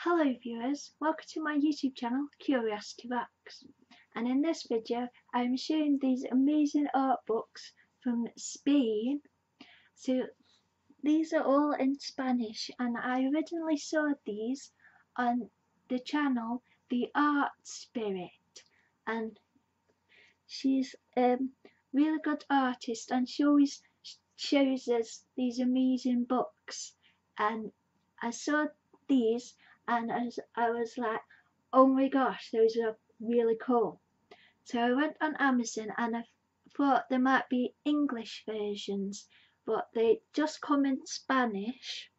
Hello viewers, welcome to my YouTube channel Curiosity Rocks and in this video I'm showing these amazing art books from Spain. So these are all in Spanish and I originally saw these on the channel The Art Spirit and she's um, really good artist and she always shows us these amazing books and I saw these and I was, I was like oh my gosh those are really cool so I went on Amazon and I thought there might be English versions but they just come in Spanish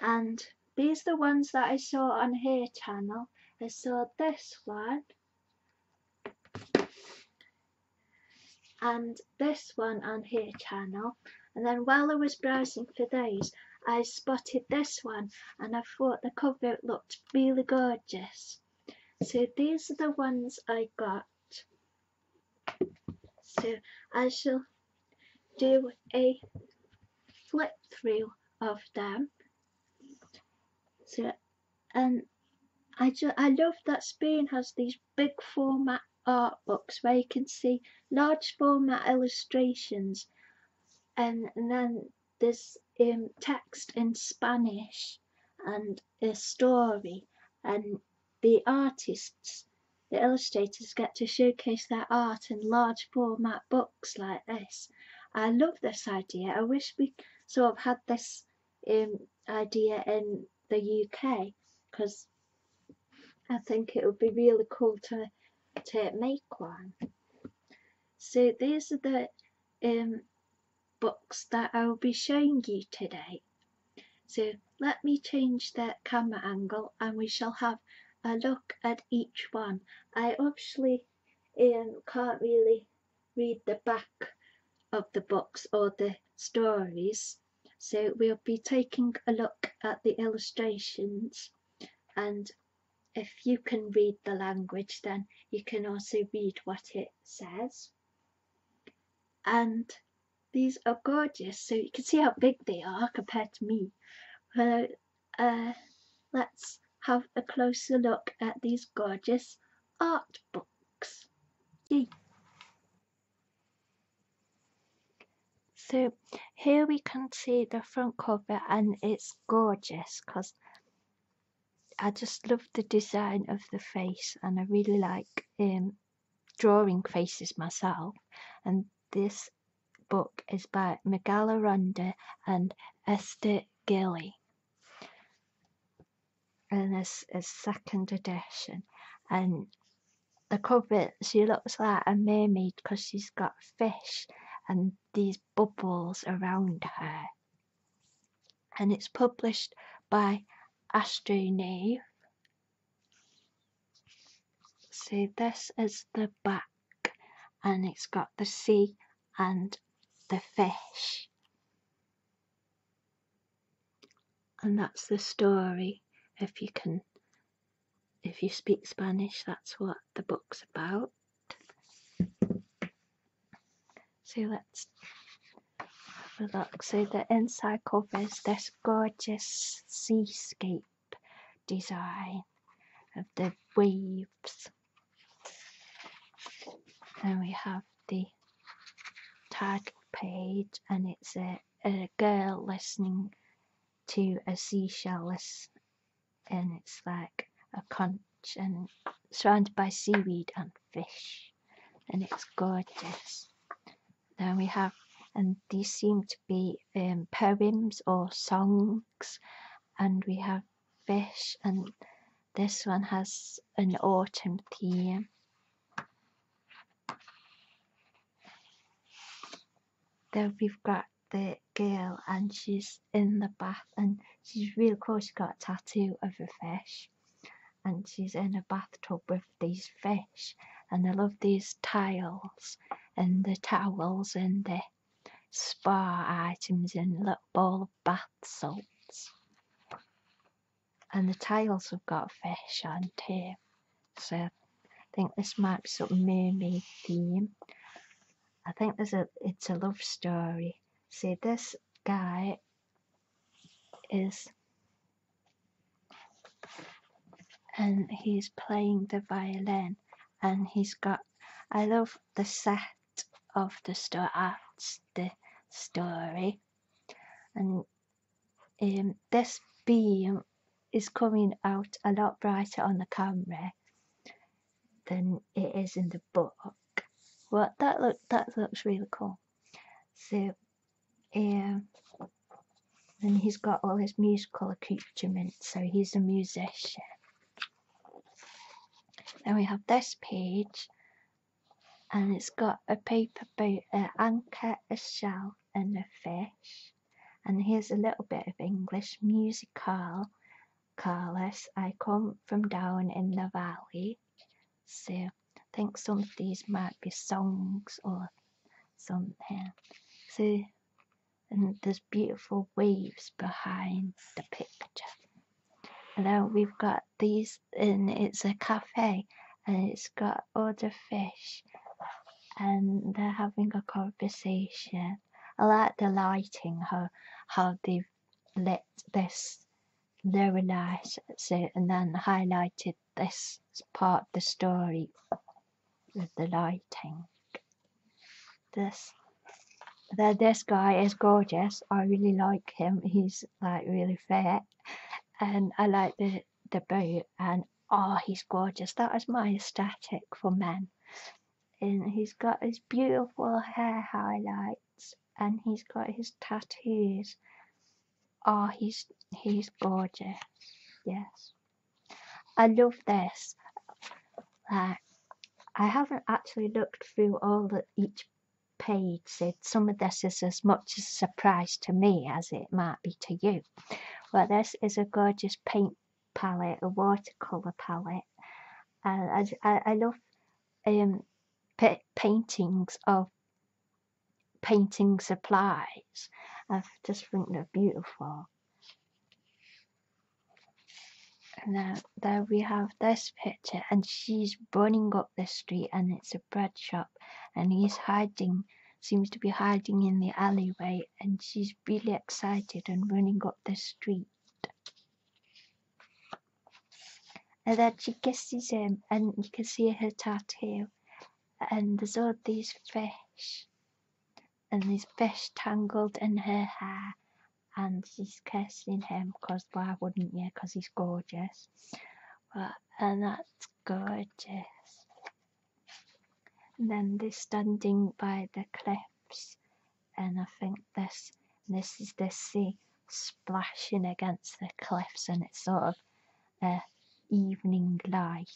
and these are the ones that I saw on her channel I saw this one and this one on here channel and then while I was browsing for those I spotted this one and I thought the cover looked really gorgeous so these are the ones I got so I shall do a flip through of them so and I I love that Spain has these big format art books where you can see large format illustrations, and, then there's um, text in Spanish and a story, and the artists, the illustrators, get to showcase their art in large format books like this. I love this idea. I wish we so I've had this um, idea in the UK because I think it would be really cool to, to make one. So these are the um, books that I'll be showing you today. So let me change the camera angle and we shall have a look at each one. I obviously um, can't really read the back of the box or the stories. So we'll be taking a look at the illustrations and if you can read the language then you can also read what it says. And these are gorgeous so you can see how big they are compared to me. Well, uh, let's have a closer look at these gorgeous art books. So here we can see the front cover and it's gorgeous because I just love the design of the face and I really like um, drawing faces myself and this book is by Megala Ronda and Esther Gilly and this, this second edition. And the cover, she looks like a mermaid because she's got fish and these bubbles around her. And it's published by Astronave. So this is the back and it's got the sea and the fish. And that's the story. If you can, if you speak Spanish, that's what the book's about. So let's look. So the inside cover is this gorgeous seascape design of the waves and we have the title page, and it's a, a girl listening to a seashell list, and it's like a conch and surrounded by seaweed and fish, and it's gorgeous. Then we have, and these seem to be um, poems or songs, and we have fish and this one has an autumn theme. Then we've got the girl and she's in the bath and she's real cool. She's got a tattoo of a fish and she's in a bathtub with these fish and I love these tiles and the towels and the spa items and little ball of bath salts. And the tiles have got fish on too. So I think this might be some mermaid theme. I think there's a it's a love story. See this guy is and he's playing the violin and he's got I love the set of the story and um, this beam is coming out a lot brighter on the camera than it is in the book well that look that looks really cool so um and he's got all his musical accoutrements so he's a musician then we have this page and it's got a paper boat, an anchor, a shell, and a fish. And here's a little bit of English musical. Carlos, I come from down in the valley. So I think some of these might be songs or something. See, and there's beautiful waves behind the picture. And then we've got these, and it's a cafe, and it's got all the fish, and they're having a conversation. I like the lighting, how how they've lit this very nice, and then highlighted this part of the story with the lighting. This. That this guy is gorgeous. I really like him. He's like really fat and I like the, the boot and oh he's gorgeous. That is my aesthetic for men. And he's got his beautiful hair highlights and he's got his tattoos. Oh he's he's gorgeous. Yes. I love this. Like I haven't actually looked through all the each Page said, Some of this is as much a surprise to me as it might be to you. Well, this is a gorgeous paint palette, a watercolour palette. and I, I love um, paintings of painting supplies. I just think they're beautiful. And now there we have this picture and she's running up the street and it's a bread shop and he's hiding seems to be hiding in the alleyway and she's really excited and running up the street and then she kisses him and you can see her tattoo and there's all these fish and these fish tangled in her hair and she's kissing him because why wouldn't you? Because he's gorgeous. But, and that's gorgeous. And then they're standing by the cliffs, and I think this this is the sea splashing against the cliffs, and it's sort of uh, evening light.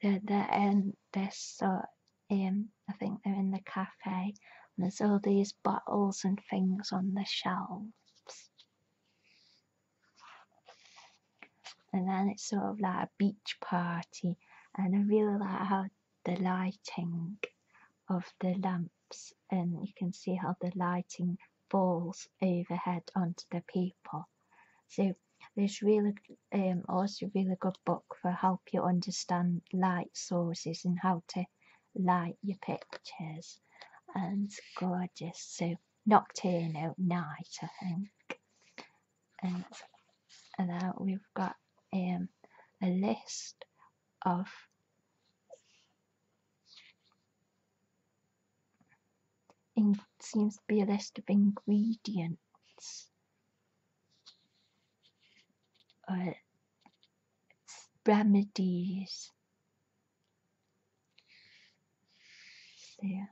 The the and this sort um I think they're in the cafe, and there's all these bottles and things on the shelves. And then it's sort of like a beach party, and I really like how the lighting of the lamps, and you can see how the lighting falls overhead onto the people. So there's really um, also really good book for help you understand light sources and how to Light your pictures and gorgeous. So Nocturnal Night, I think. And, and now we've got um, a list of in, seems to be a list of ingredients uh, remedies. So yeah.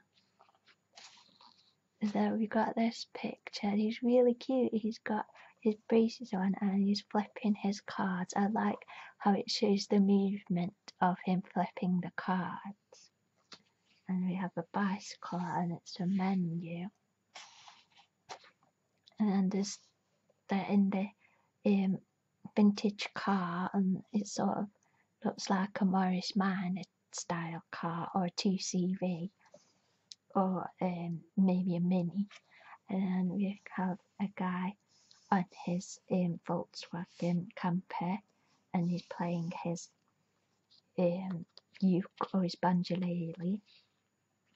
So we got this picture. He's really cute. He's got his braces on and he's flipping his cards. I like how it shows the movement of him flipping the cards. And we have a bicycle and it's a menu and there's they're in the um, vintage car and it sort of looks like a Morris Minor style car or a 2CV or um, maybe a Mini and we have a guy on his um, Volkswagen camper and he's playing his um, uke or his banjolele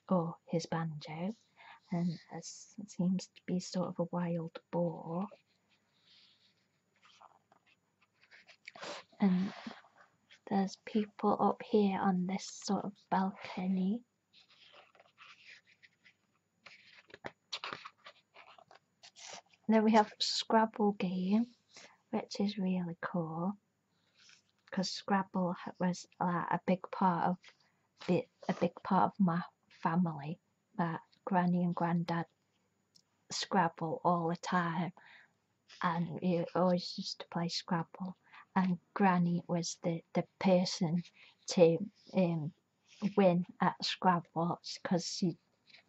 or his banjo, and seems to be sort of a wild boar. And there's people up here on this sort of balcony. then we have Scrabble game, which is really cool because Scrabble was like, uh, a big part of bit a big part of my family. My granny and granddad Scrabble all the time, and we always used to play Scrabble. And Granny was the the person to um, win at Scrabble because she,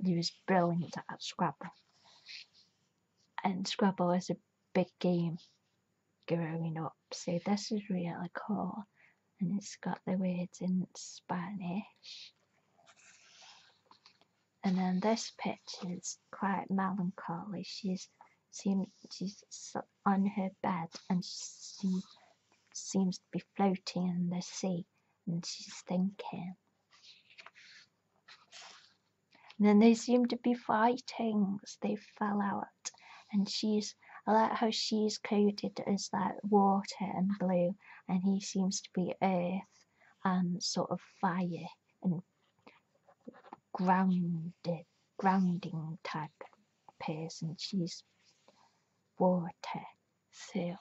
she was brilliant at Scrabble. And Scrabble is a big game growing up. So this is really cool and it's got the words in Spanish. And then this picture is quite melancholy. She's seen she's on her bed and she seems to be floating in the sea and she's thinking. then they seem to be fightings. They fell out and she's I like how she's coded as like water and blue, and he seems to be earth and sort of fire and grounded, grounding type person. She's water. So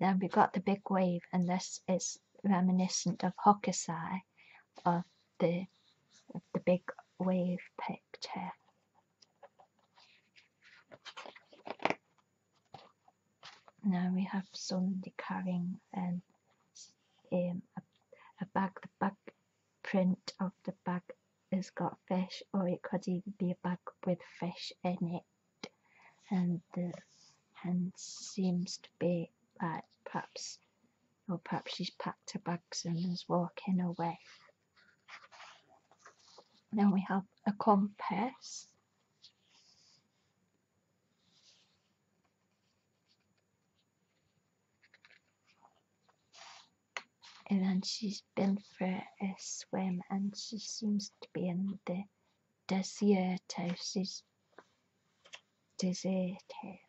then we got the big wave, and this is reminiscent of Hokusai, of the the big wave picture. Now we have somebody carrying an, um, um, a, a bag. The back print of the bag has got fish, or it could even be a bag with fish in it. And the hand seems to be like perhaps or perhaps she's packed her bags and is walking away. Then we have a compass. And then she's been for a swim and she seems to be in the desert. She's deserted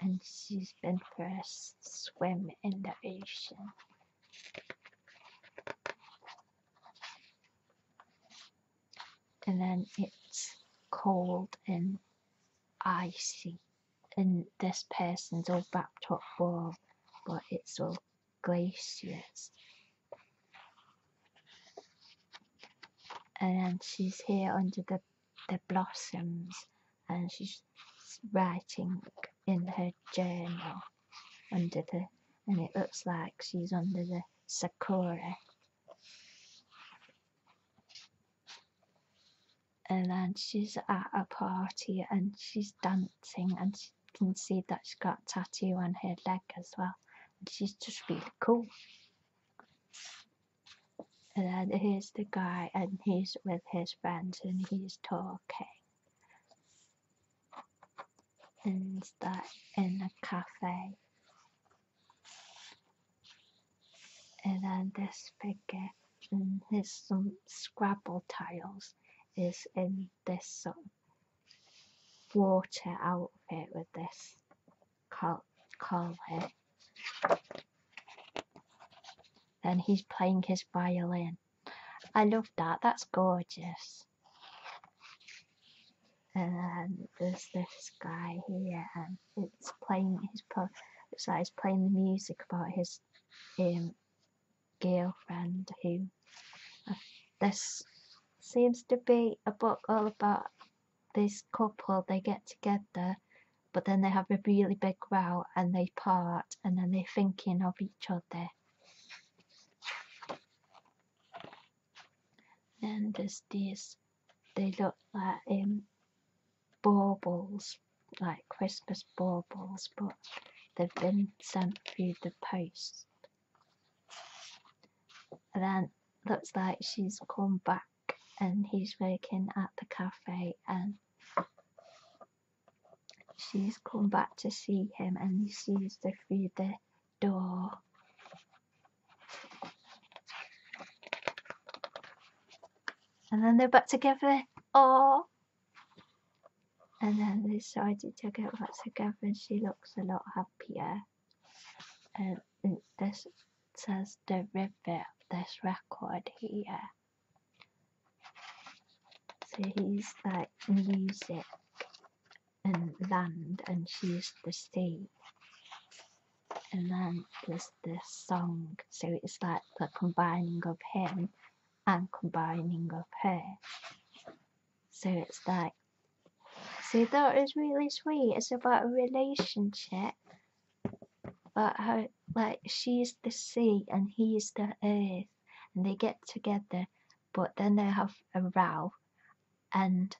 and she's been forced to swim in the ocean. And then it's cold and icy, and this person's all wrapped up warm, but it's all glaciers. And then she's here under the the blossoms and she's writing in her journal under the and it looks like she's under the sakura and then she's at a party and she's dancing and you can see that she's got tattoo on her leg as well and she's just really cool and he's the guy, and he's with his friends, and he's talking. And that in a cafe. And then this figure and his some um, Scrabble tiles is in this sort um, of water outfit with this collar collar. Then he's playing his violin. I love that, that's gorgeous. And there's this guy here, and it's playing his It's like he's playing the music about his um, girlfriend who uh, this seems to be a book all about this couple they get together but then they have a really big row and they part and then they're thinking of each other then there's this. they look like in um, baubles like christmas baubles but they've been sent through the post and then looks like she's come back and he's working at the cafe and she's come back to see him and he sees her through the door. And then they're back together. Oh! And then they decide to get back together and she looks a lot happier. Um, and this Says the river this record here. So he's like music and land and she's the sea. And then there's this song. So it's like the combining of him and combining of her. So it's like so that is really sweet. It's about a relationship but how like she's the sea and he's the earth, and they get together, but then they have a row, and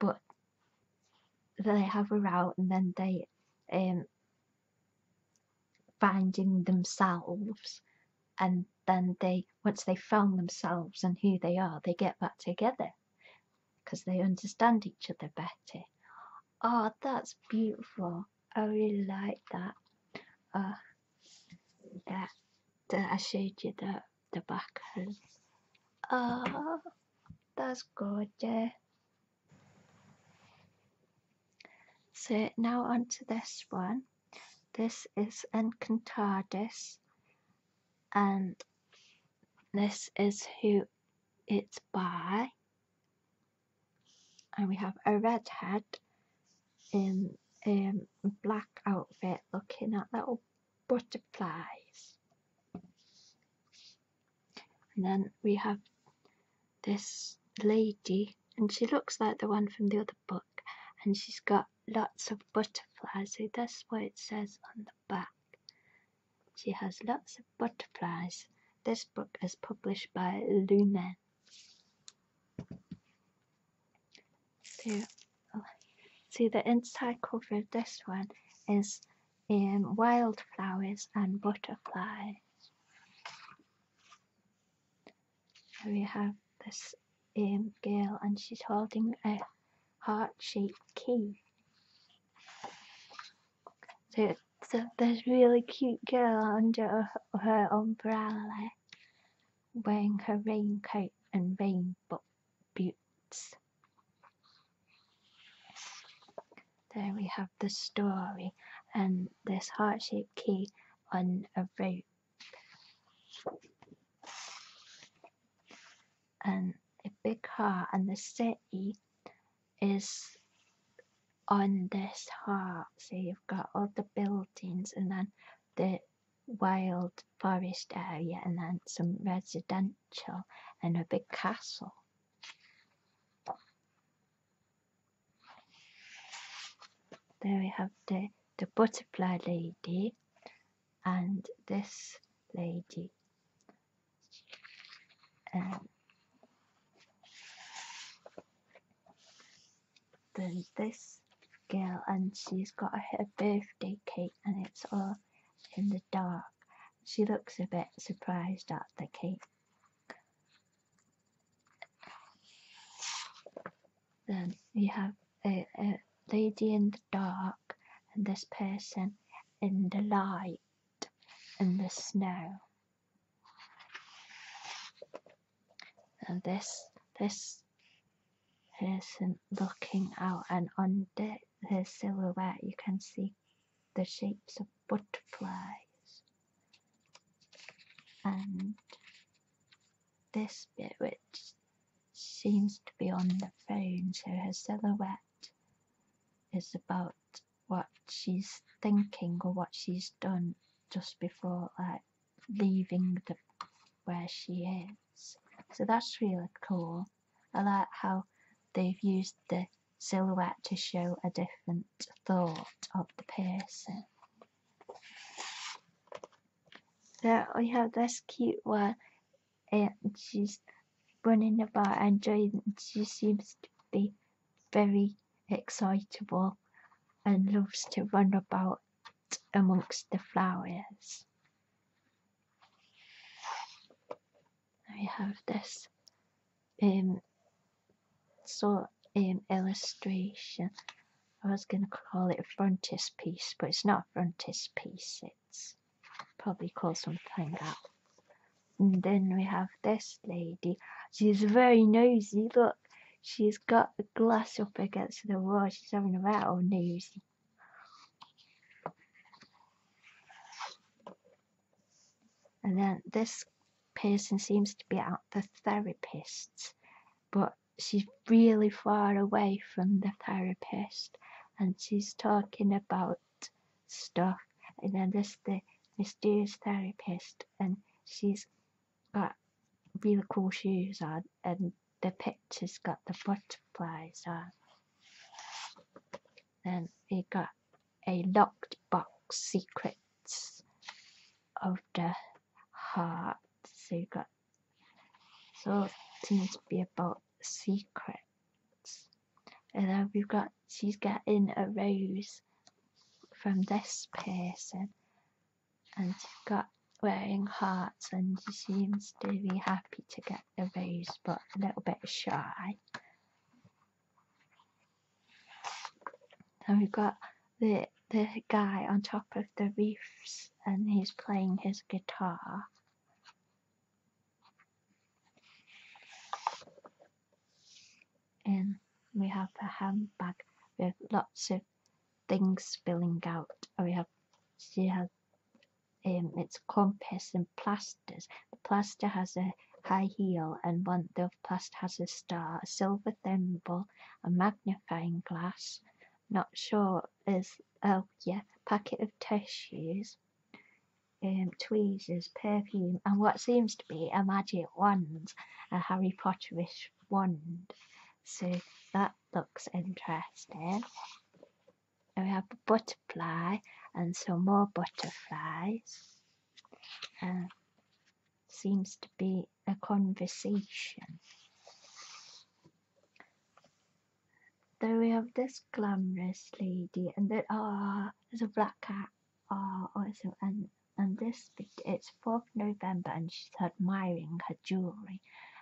but they have a row, and then they um finding themselves, and then they once they found themselves and who they are, they get back together because they understand each other better. Ah, that's beautiful. I really like that. Uh, oh, that, I showed you the, the back home. Oh, that's gorgeous. So now onto this one. This is Encantadis and this is who it's by and we have a redhead in a black outfit looking at little butterflies and then we have this lady and she looks like the one from the other book and she's got lots of butterflies so that's what it says on the back she has lots of butterflies. This book is published by Lumen. So, so the inside cover of this one is in um, wildflowers and butterflies. So we have this um, girl and she's holding a heart-shaped key. There's this really cute girl under her umbrella wearing her raincoat and rainbow boots. There we have the story and this heart shaped key on a rope and big heart, and the city is on this heart. So you've got all the buildings and then the wild forest area and then some residential and a big castle. There we have the, the butterfly lady and this lady um, there's this girl and she's got her birthday cake and it's all in the dark. She looks a bit surprised at the cake. Then you have a lady in the dark and this person in the light in the snow. And this this person looking out and under the, silhouette you can see the shapes of butterflies and this bit which seems to be on the phone so her silhouette is about what she's thinking or what she's done just before like leaving the where she is. So that's really cool. I like how they've used the silhouette to show a different thought of the person. There we have this cute one and she's running about and enjoying She seems to be very excitable and loves to run about amongst the flowers. I have this um sort um illustration. I was gonna call it a frontispiece, but it's not a frontispiece, it's probably call something out. And then we have this lady. She's very nosy. Look, she's got a glass up against the wall. She's having a rattle nosy. And then this person seems to be at the therapist, but she's really far away from the therapist and she's talking about stuff and then there's the mysterious therapist and she's got really cool shoes on and the picture's got the butterflies on. and it got a locked box secrets of the heart. So so it seems to be about secrets and then we've got she's getting a rose from this person and she's got wearing hearts and she seems to be happy to get the rose but a little bit shy and we've got the the guy on top of the reefs and he's playing his guitar and we have a handbag with lots of things spilling out. We have she has um, it's compass and plasters. The plaster has a high heel and one of the plasters has a star, a silver thimble, a magnifying glass. Not sure is oh yeah, packet of tissues, um, tweezers, perfume, and what seems to be a magic wand, a Harry Potterish wand. So that looks interesting. we have a butterfly and some more butterflies. Uh, seems to be a conversation. Then we have this glamorous lady, and there are ah, there's a black cat are also un- undisputed. It's 4th November and she's admiring her jewelry.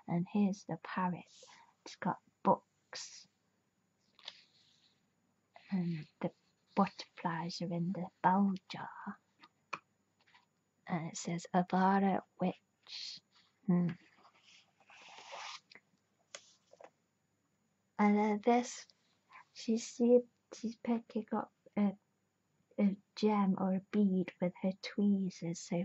And here's the parrot. It's got books. And the butterflies are in the bell jar. And it says Avada Witch. Hmm. And at uh, this, she seemed she's picking up a, a gem or a bead with her tweezers. So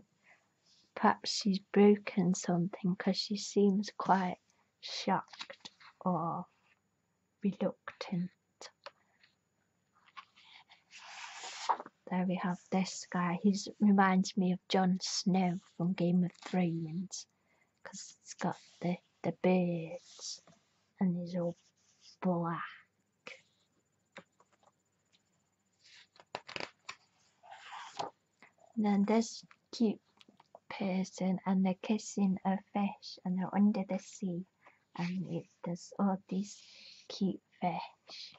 perhaps she's broken something because she seems quite shocked or reluctant. There we have this guy. He reminds me of Jon Snow from Game of Thrones because it's got the, the birds and it's all black. And then this cute person and they're kissing a fish and they're under the sea and it, does all these cute fish.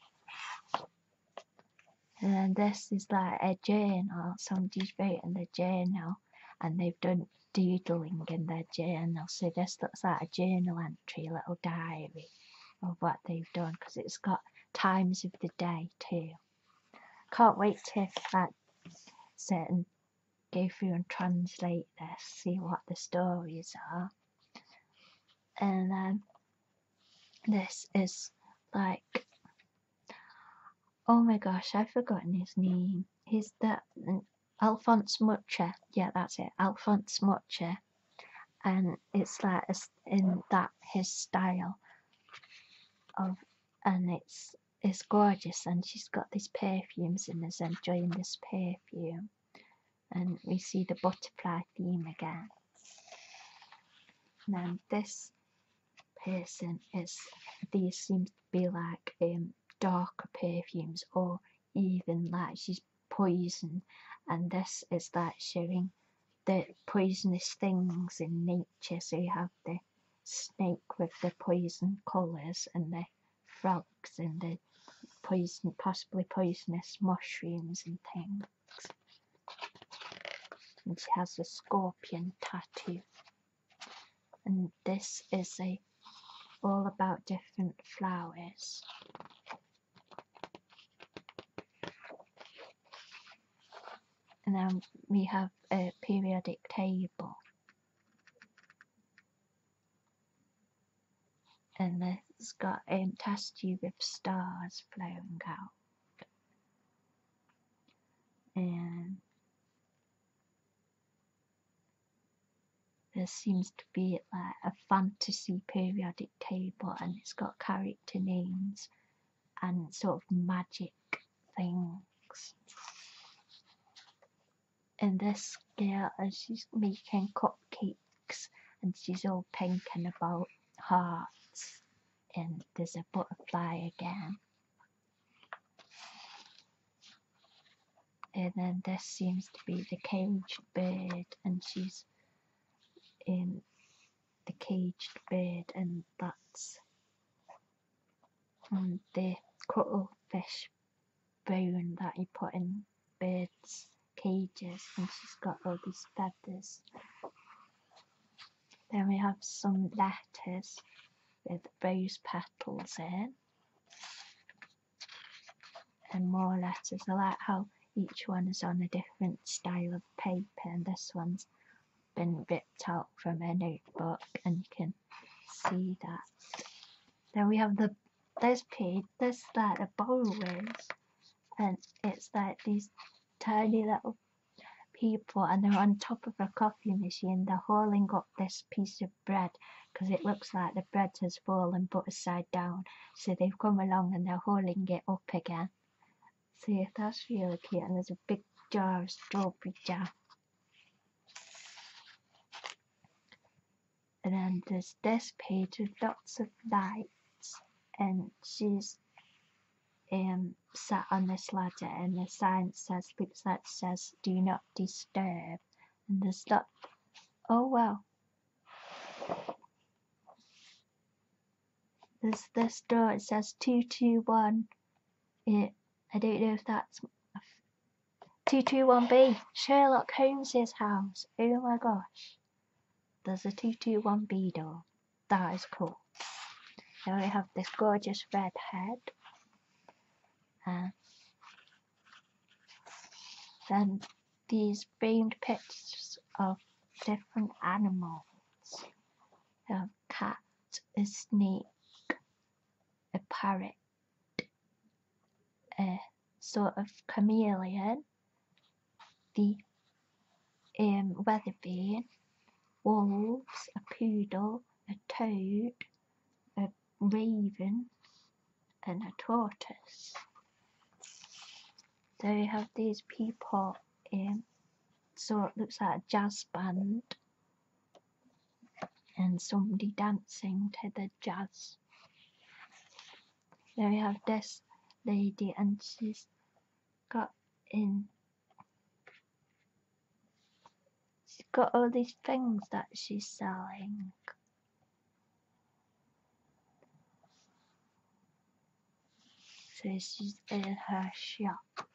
And this is like a journal, somebody's writing a journal and they've done doodling in their journal. So this looks like a journal entry, a little diary of what they've done because it's got times of the day too. Can't wait to like sit and go through and translate this, see what the stories are. And um, this is like Oh my gosh, I've forgotten his name. He's the mm, Alphonse Mucha. Yeah, that's it. Alphonse Mucha. And it's like in that his style of and it's it's gorgeous and she's got these perfumes and is enjoying this perfume and we see the butterfly theme again. Now this person is these seem be like um, darker perfumes or even like she's poison and this is that showing the poisonous things in nature so you have the snake with the poison colours and the frogs and the poison possibly poisonous mushrooms and things and she has a scorpion tattoo and this is a all about different flowers. And then we have a periodic table. And it's got a test tube with stars flowing out. And there seems to be like a fantasy periodic table and it's got character names and sort of magic things. And this girl, and she's making cupcakes and she's all pink and about hearts. And there's a butterfly again. And then this seems to be the caged bird, and she's in um, the caged bird, and that's and the cuttlefish bone that you put in birds' cages, and she's got all these feathers. Then we have some letters with rose petals in and more letters. I like how each one is on a different style of paper this one's been ripped out from a notebook and you can see that. Then we have the this page, this that a bowl and it's like these tiny little people and they're on top of a coffee machine they're holding up this piece of Bread, because it looks like the bread has fallen but side down, so they've come along and they're holding it up again. See, that's really cute, and there's a big jar of strawberry jam. And then there's this page with lots of lights, and she's um, sat on this ladder, and the sign says, looks like says, "Do you know?" Disturb and the stuff. Oh well. There's this door it says two two one. It I don't know if that's two two one B Sherlock Holmes's house. Oh my gosh. There's a two two one B door. That is cool. Now we have this gorgeous red hat and than these framed pictures of different animals. A cat, a snake, a parrot, a sort of chameleon, the um, weather weathervane, wolves, a poodle, a toad, raven and a tortoise. So you have these people in, so it looks like a jazz band and somebody dancing to the jazz. There we have this lady and she's got in She's got all these things that she's selling. So she's in her shop.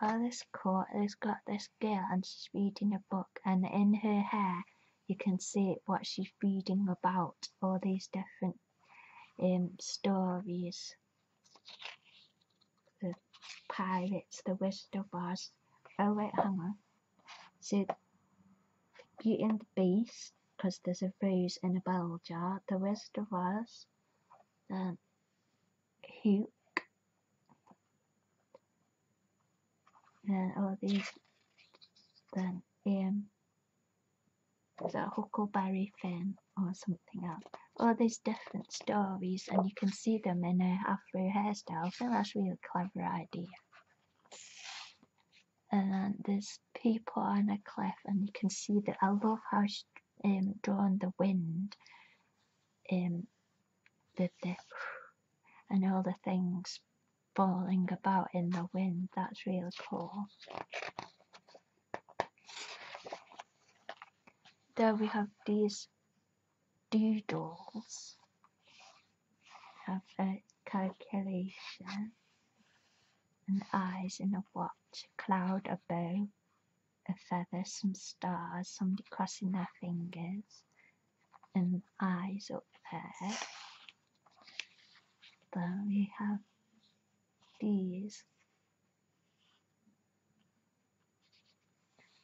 At this court, has got this girl and she's reading a book, and in her hair, you can see what she's reading about all these different um, stories. The pirates, the west of us. Oh wait, hang on. So Beauty and the beast, 'cause there's a rose in a bell jar. The rest of us. Um, then Hook. Then all these. Then um, um. The Huckleberry Finn or something else. All these different stories, and you can see them in a afro hairstyle. So that's a really clever idea. And there's people on a cliff, and you can see that. I love how she um, the wind. Um, the, the and all the things falling about in the wind. That's really cool. There we have these doodles. Have a calculation, an eyes in a watch, a cloud, a bow, a feather, some stars, somebody crossing their fingers, and eyes up there. Then we have these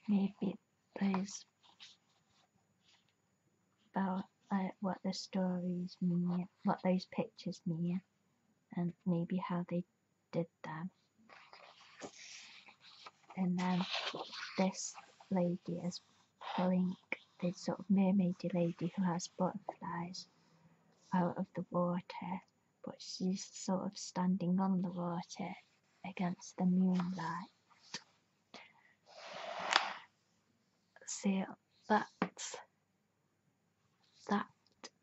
Maybe please about what the stories mean, what those pictures mean, and maybe how they did them. And then this lady is pulling the sort of mermaid lady who has butterflies out of the water but she's sort of standing on the water against the moonlight. See, that's that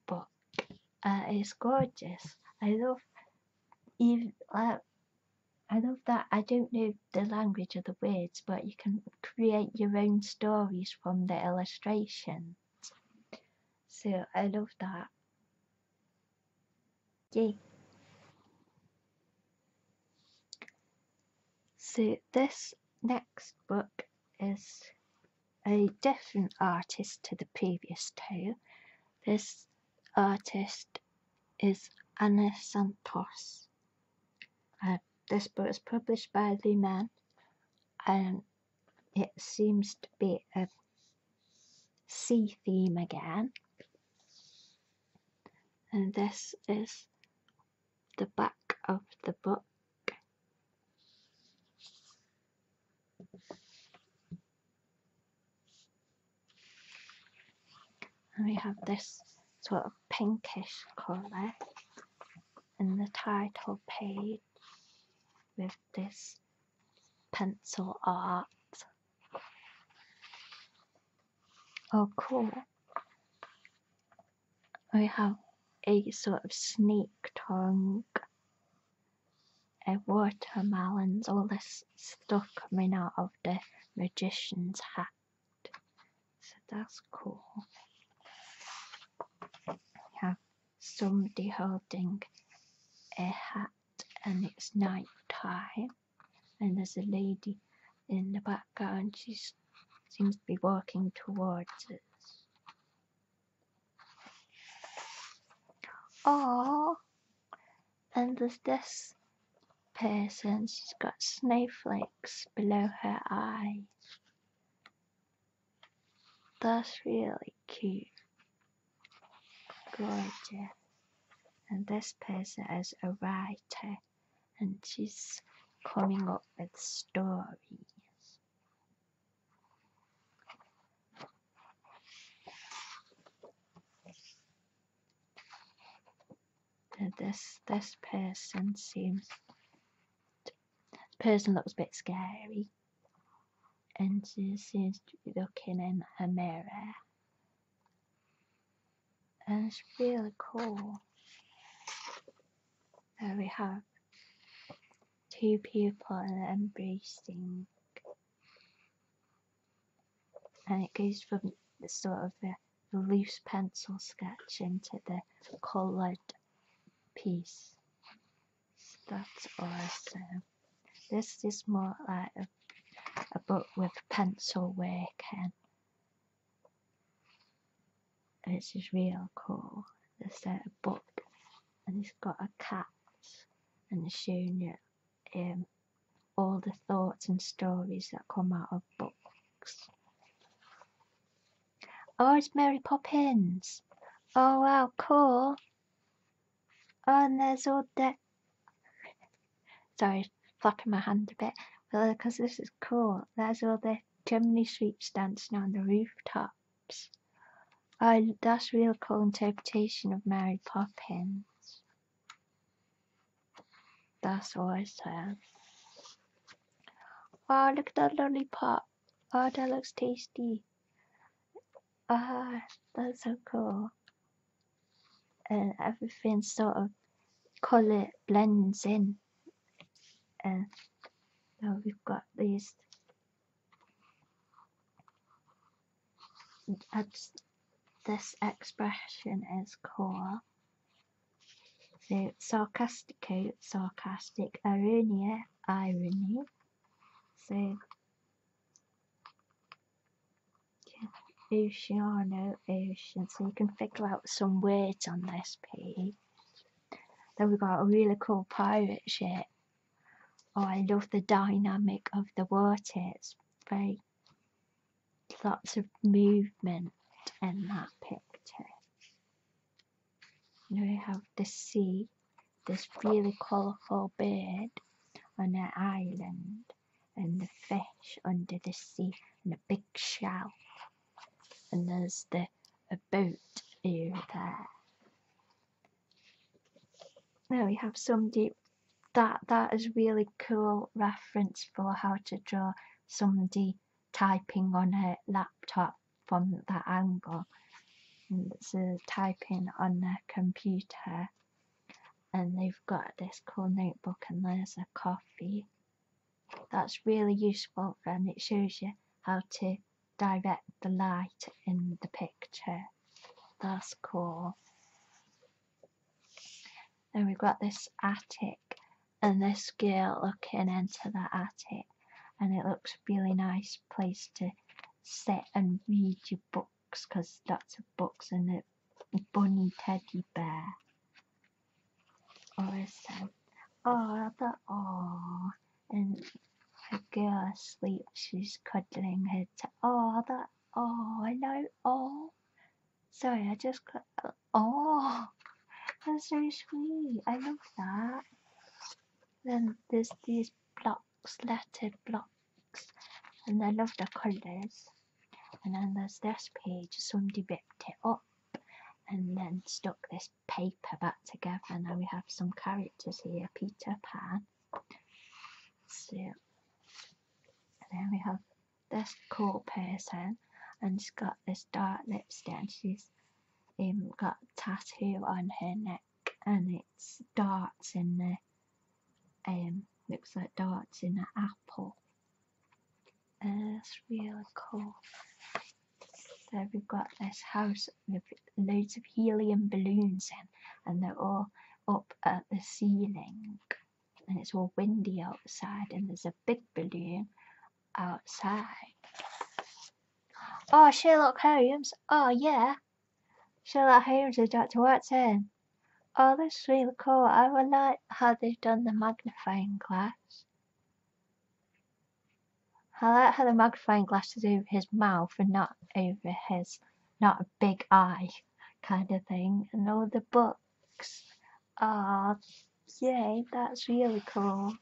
book. Uh, it's gorgeous. I love even uh, I love that. I don't know the language of the words, but you can create your own stories from the illustration. So I love that. Okay. So this next book is a different artist to the previous two. This artist is Anna Santos. Uh, this book is published by Luman and it seems to be a sea theme again. And this is the back of the book. And we have this sort of pinkish colour in the title page with this pencil art. Oh, cool. We have a sort of snake tongue, a watermelons, all this stuff coming out of the magician's hat. So that's cool. We have somebody holding a hat and it's night time and there's a lady in the background she seems to be walking towards us oh and there's this person she's got snowflakes below her eyes that's really cute gorgeous. And this person is a writer and she's coming up with stories. And this this person seems person looks a bit scary and she seems to be looking in her mirror. And she really cool. There we have two people embracing. And it goes from the sort of the loose pencil sketch into the coloured piece. That's awesome. This is more like a, a book with pencil work and this is real cool. There's a book and it's got a cat and it's showing you um, all the thoughts and stories that come out of books. Oh, it's Mary Poppins. Oh, wow, cool. And there's all that. Sorry, flapping my hand a bit. Because uh, this is cool. There's all the chimney sweeps dancing on the rooftops. Oh, that's a real cool interpretation of Mary Poppins. That's all I said. Oh, look at that lollipop. Oh, that looks tasty. Ah, that's so cool. And everything sort of color blends in. And now we've got this. just, this expression is cool. So sarcastico, sarcastic, irony, irony. So Evolution or no evolution, so you can figure out some words on this page. Then we've got a really cool pirate ship. Oh, I love the dynamic of the water. It's very lots of movement in that picture. And we have the sea this really colourful bird on an island and the fish under the sea and a big shell and there's the a boat over there. Now we have some somebody that that is really cool reference for how to draw somebody typing on a laptop from that angle and it's a typing on the computer and they've got this cool notebook and there's a coffee that's really useful and it shows you how to direct the light in the picture that's cool then we've got this attic and this girl looking into the attic and it looks really nice place to sit and read your book because that's a box and a, a bunny teddy bear. Or is that? Oh, the oh, and a girl asleep. She's cuddling her. T- oh, that oh, I know. Oh, sorry, I just got. Oh, that's so sweet. I love that. Then there's this block slatted blocks, and I love the colors. And on this last page, somebody ripped it up and then stuck this paper back together. Now we have some characters here Peter Pan. and then we have this cool person, and she's got this dark lipstick, and she's um, got a tattoo on her neck and it's darts in there. Um, looks like darts in an apple. Uh, that's really cool. So we've got this house with loads of helium balloons in, and they're all up at the ceiling, and it's all windy outside, and there's a big balloon outside. Oh, Sherlock Holmes. Oh, yeah. Shall I hear the judge words saying, Oh, this really cool, I would like how they've done the magnifying glass. I like how the magnifying glass is over his mouth and not over his, not a big eye kind of thing. And all the books are, yeah, that's really cool.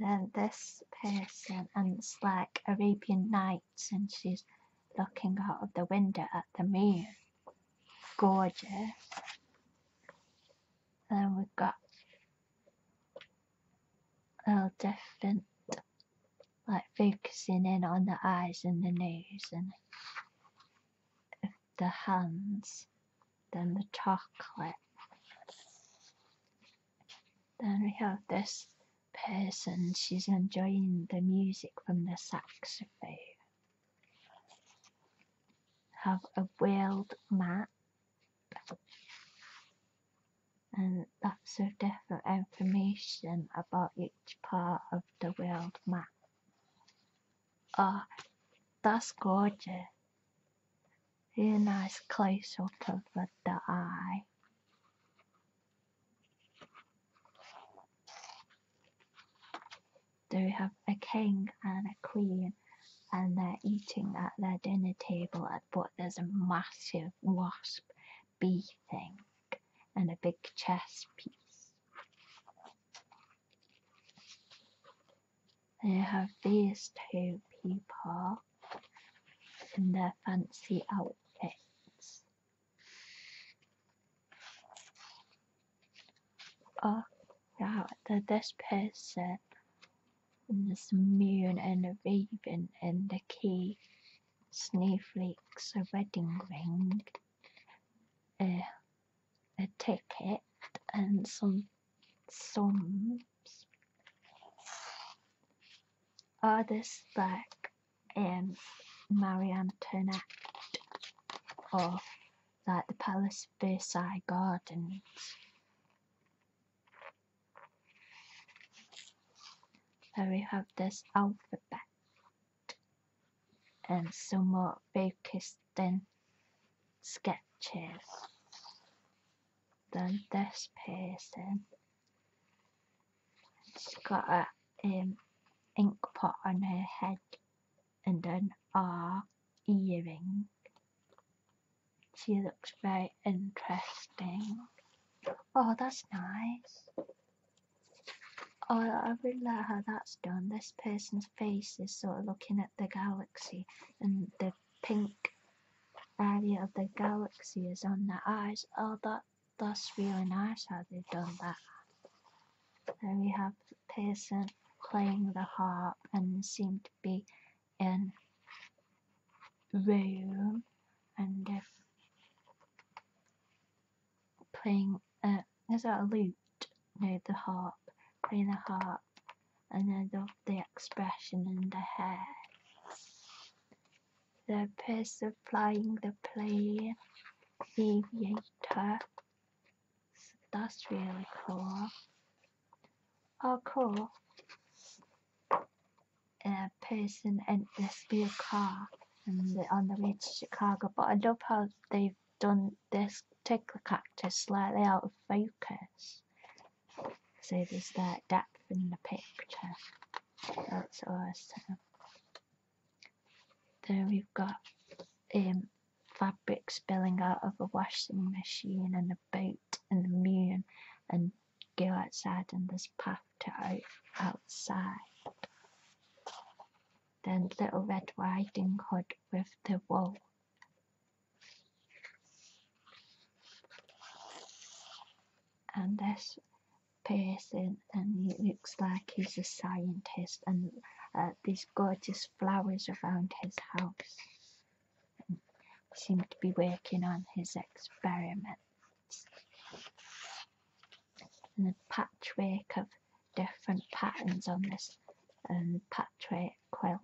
And this person, and it's like Arabian Nights lights and she's looking out of the window at the moon. Gorgeous. Then we've got little different, like focusing in on the eyes and the nose and the hands, then the chocolate. Then we have this person. She's enjoying the music from the saxophone. Have a world map and lots of different information about each part of the world map. Ah, that's gorgeous. A nice close up of the eye. They have a king and a queen, and they're eating at their dinner table, but there's a massive wasp bee thing and a big chess piece. They have these two people in their fancy outfits Oh God, The this person is mean and raving and the key snowflakes a wedding ring, a, a ticket and some sums. Oh, this back in Marie Antoinette or like the Palace Versailles Gardens. And we have this alphabet and some more Bakiston sketches. Then this person She's got a um, ink pot on her head and an R earring. She looks very interesting. Oh, that's nice. Oh, I really like how that's done. This person's face is sort of looking at the galaxy, and the pink area of the galaxy is on their eyes. Oh, that that's really nice how they've done that. Then we have the person playing the harp and seem to be in room and they're playing uh, is a lute? near the harp. Playing the harp and then the, the expression in the hair the person flying the plane aviator. So that's really cool. Oh, cool. A person in the speed car and they're on the way to Chicago, but I love how they've done this take the cactus slightly out of focus. So there's that depth in the picture. That's awesome. Then we've got um, fabric spilling out of a washing machine and a boat and the moon and go outside and this path to out outside. Then little red riding hood with the wolf And this person and he looks like he's a scientist and uh, these gorgeous flowers around his house seem to be working on his experiments and a patchwork of different patterns on this um, patchwork quilt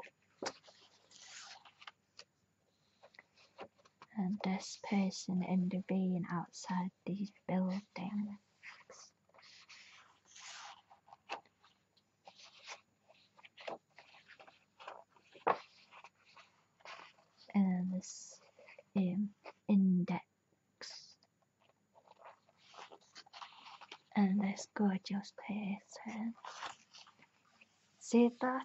and this person in the intervening outside these below dynamics. And this um, index. And this gorgeous person. See that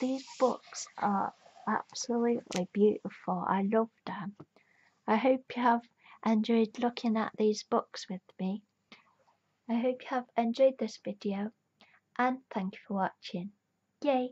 these books are absolutely beautiful. I love them. I hope you have enjoyed looking at these books with me. I hope you have enjoyed this video and thank you for watching. Yay!